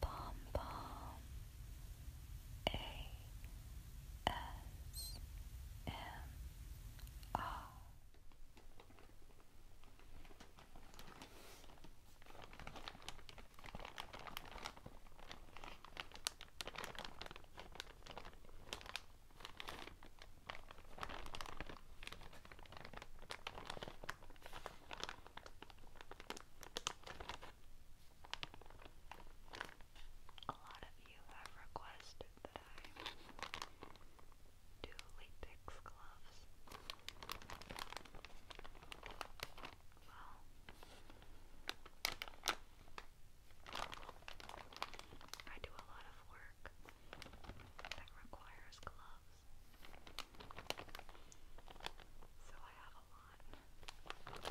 Pom Pom A S M R a lot of you have requested that I do latex gloves. Well, I do a lot of work that requires gloves. So I have a lot. I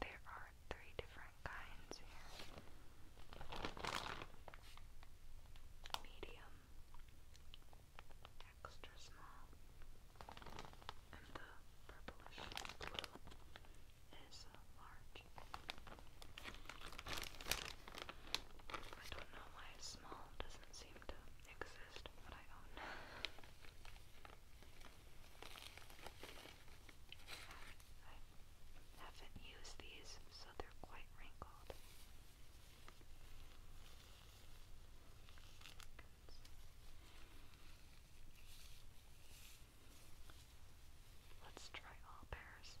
There are three different kinds here medium, extra small, and the purplish blue is large. I don't know why small doesn't seem to exist, but I own I haven't used these, so they're quite wrinkled. Let's try all pairs.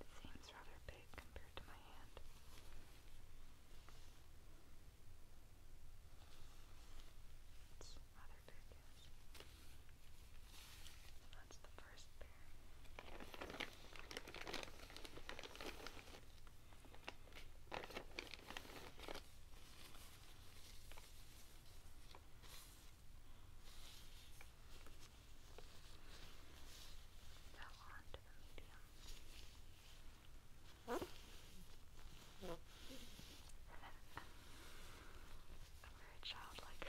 It seems rather big compared to my hand. It's rather big, yes. That's the first pair fell onto the medium. And then a very childlike.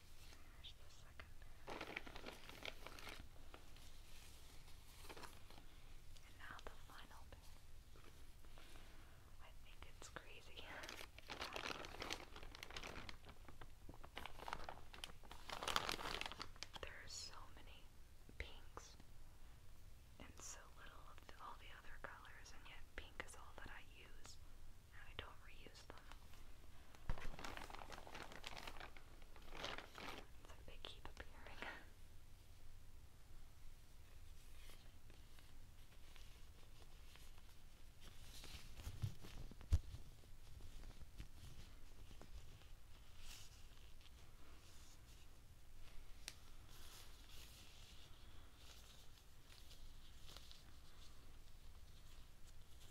finish the second pair. And now the final pair. I think it's crazy. there are so many pinks and so little of the, all the other colors, and yet pink is all that I use and I don't reuse them. It's they keep appearing.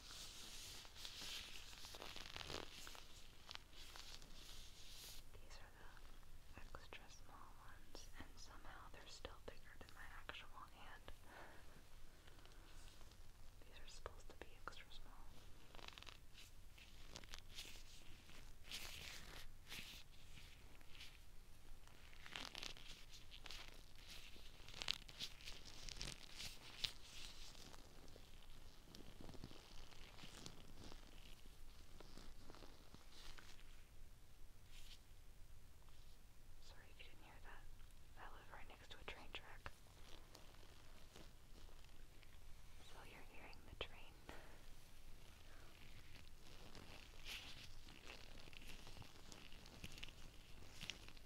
These are the extra small ones, and somehow they're still bigger than my actual hand. These are supposed to be extra small. These Sorry if you didn't hear that. I live right next to a train track. So you're hearing the train.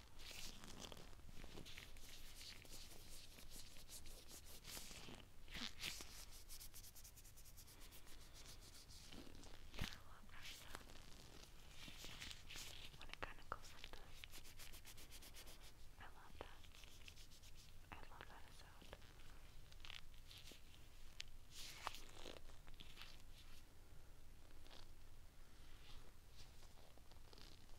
When it kind of goes like this. I love that. I love that sound. I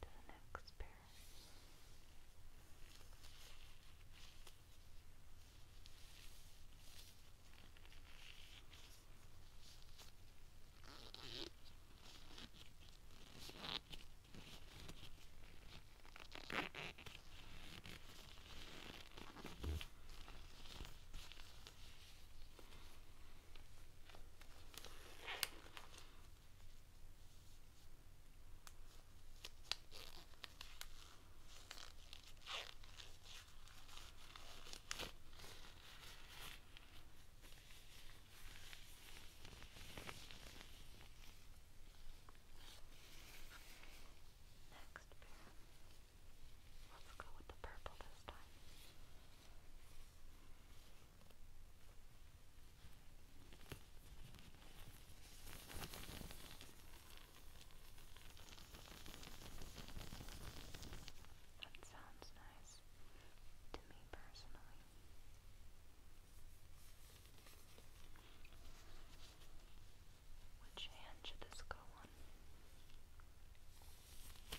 to the next pair. Next pair. Let's go with the purple this time. That sounds nice to me personally. Which hand should this go on?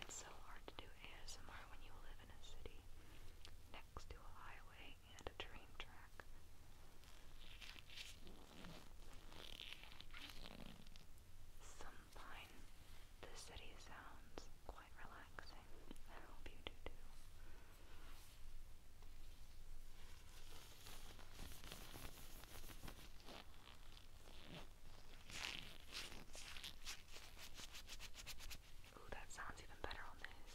It's so hard to do ASMR when you live in a city next to a highway and a train track. Some the city sounds quite relaxing. I hope you do too. Ooh, that sounds even better on this.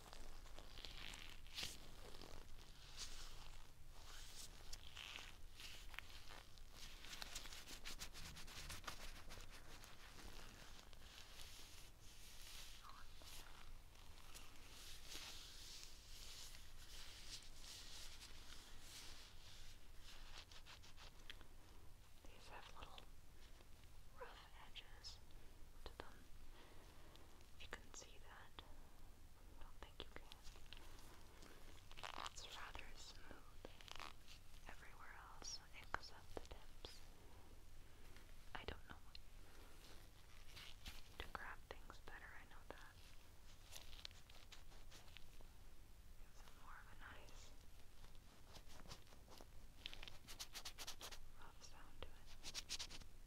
These have little rough edges to them. you can see that, I don't think you can. It's rather smooth everywhere else except the tips. I don't know to grab things better, I know that. Gives more of a nice rough sound to it.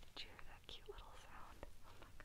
Did you hear that cute little sound? Oh my god.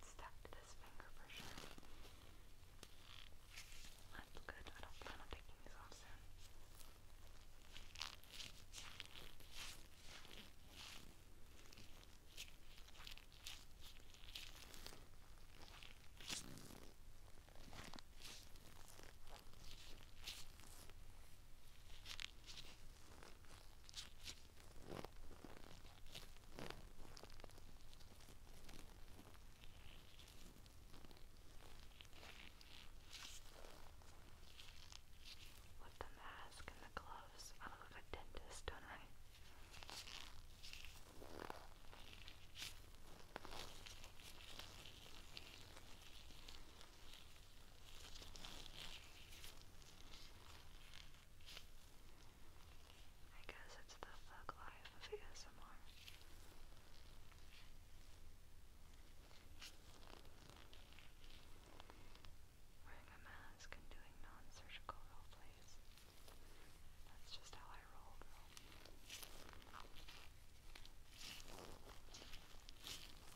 Let's tap this finger for sure. That's good. I don't plan on taking these off soon. Okay, with the mask and the gloves, I look like a dentist, don't I? I guess it's the thug life of ASMR. Wearing a mask and doing non-surgical role plays. That's just how I roll,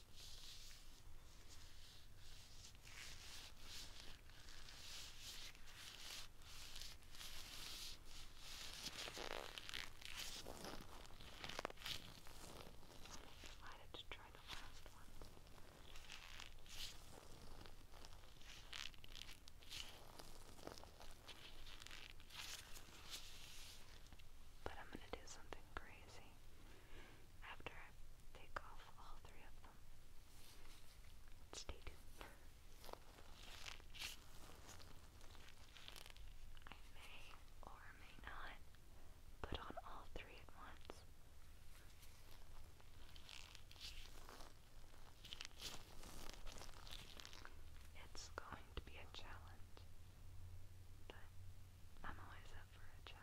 decided to try the last one. But I'm going to do something crazy after I take off all three of them. Stay tuned. I may or may not put on all three at once. It's going to be a challenge, but I'm always up for a challenge.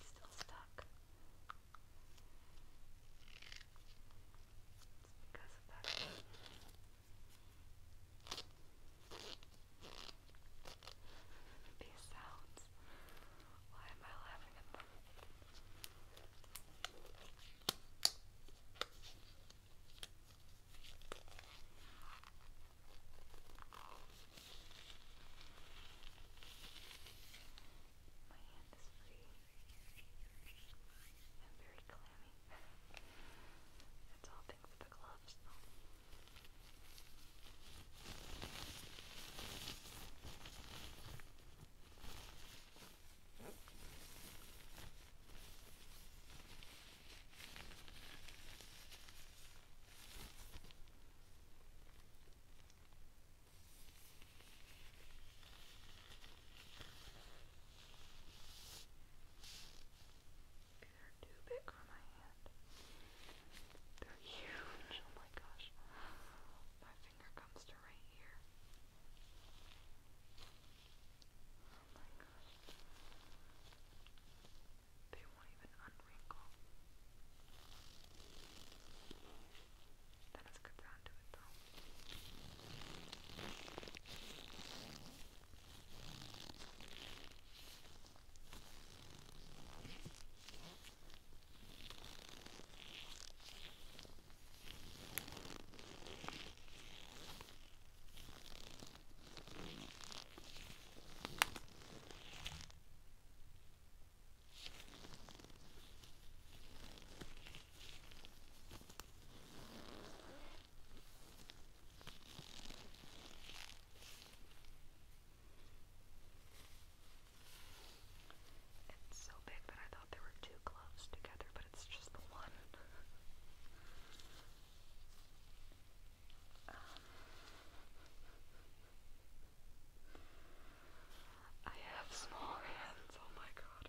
It's still stuck. It's because of that. These sounds. Why am I laughing at them? My hand is free. I'm very clammy. it's all thanks to the gloves, though. Yep. They're too big for my hand. They're huge. Oh my gosh. My finger comes to right here. Oh my gosh. They won't even unwrinkle. That has a good sound to it, though. It's so big that I thought there were two gloves together, but it's just the one. um, I have small hands, oh my god.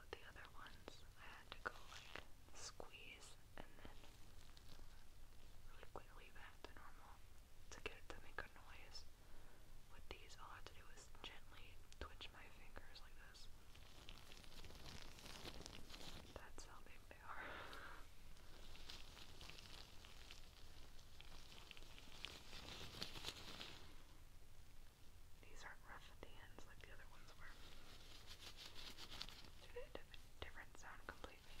With the other ones, I had to go like squeeze and then really quickly back to normal to get it to make a noise. With these, all I had to do was gently twitch my fingers like this. That's how big they are. These aren't rough at the ends like the other ones were. They had a different sound completely.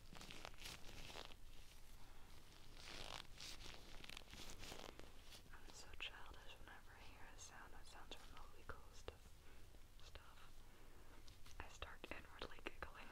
I'm so childish whenever I hear a sound that sounds remotely close to stuff. I start inwardly giggling.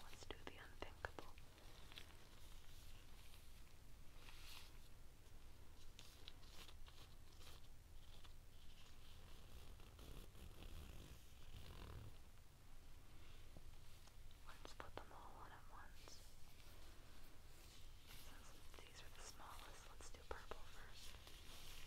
Let's do the unthinkable. Let's put them all on at once. So since these are the smallest, let's do purple first. Already done.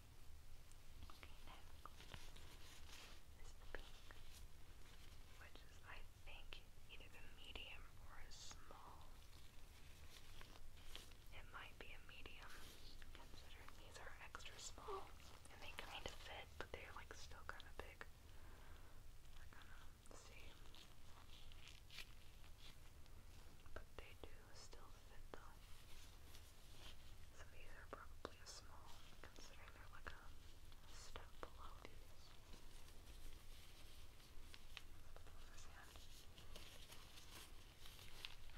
Okay, next which I think, either the medium or a small. It might be a medium, considering these are extra small and they kind of fit, but they're like still kind of big. We're gonna see. But they do still fit though. So these are probably a small, considering they're like a step below these. This hand.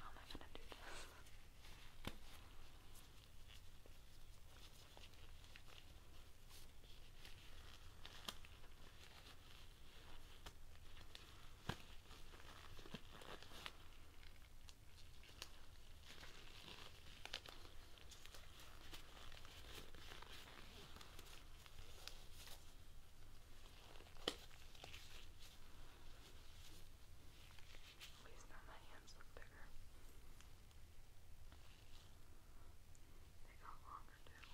How am I gonna do this? least now my hands look bigger. They got longer too.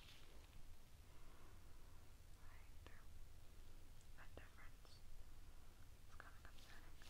Like they're a difference. It's kind of concerning.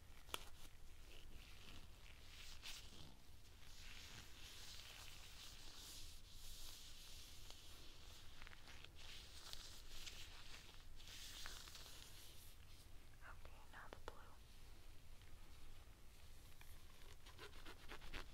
Okay, now the blue. Okay,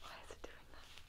why is it doing that?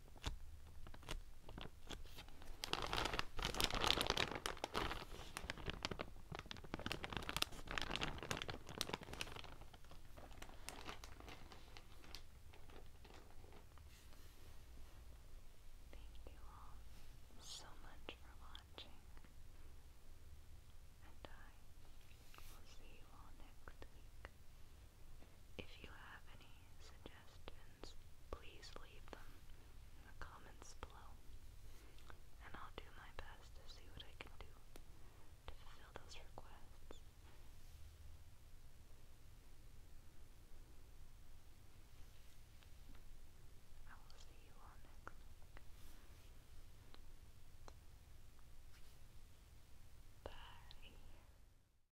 Thank you all so much for watching, and I will see you all next week. If you have any suggestions, please leave them in the comments below, and I'll do my best to see what I can do to fulfill those requests. I will see you all next week. Bye.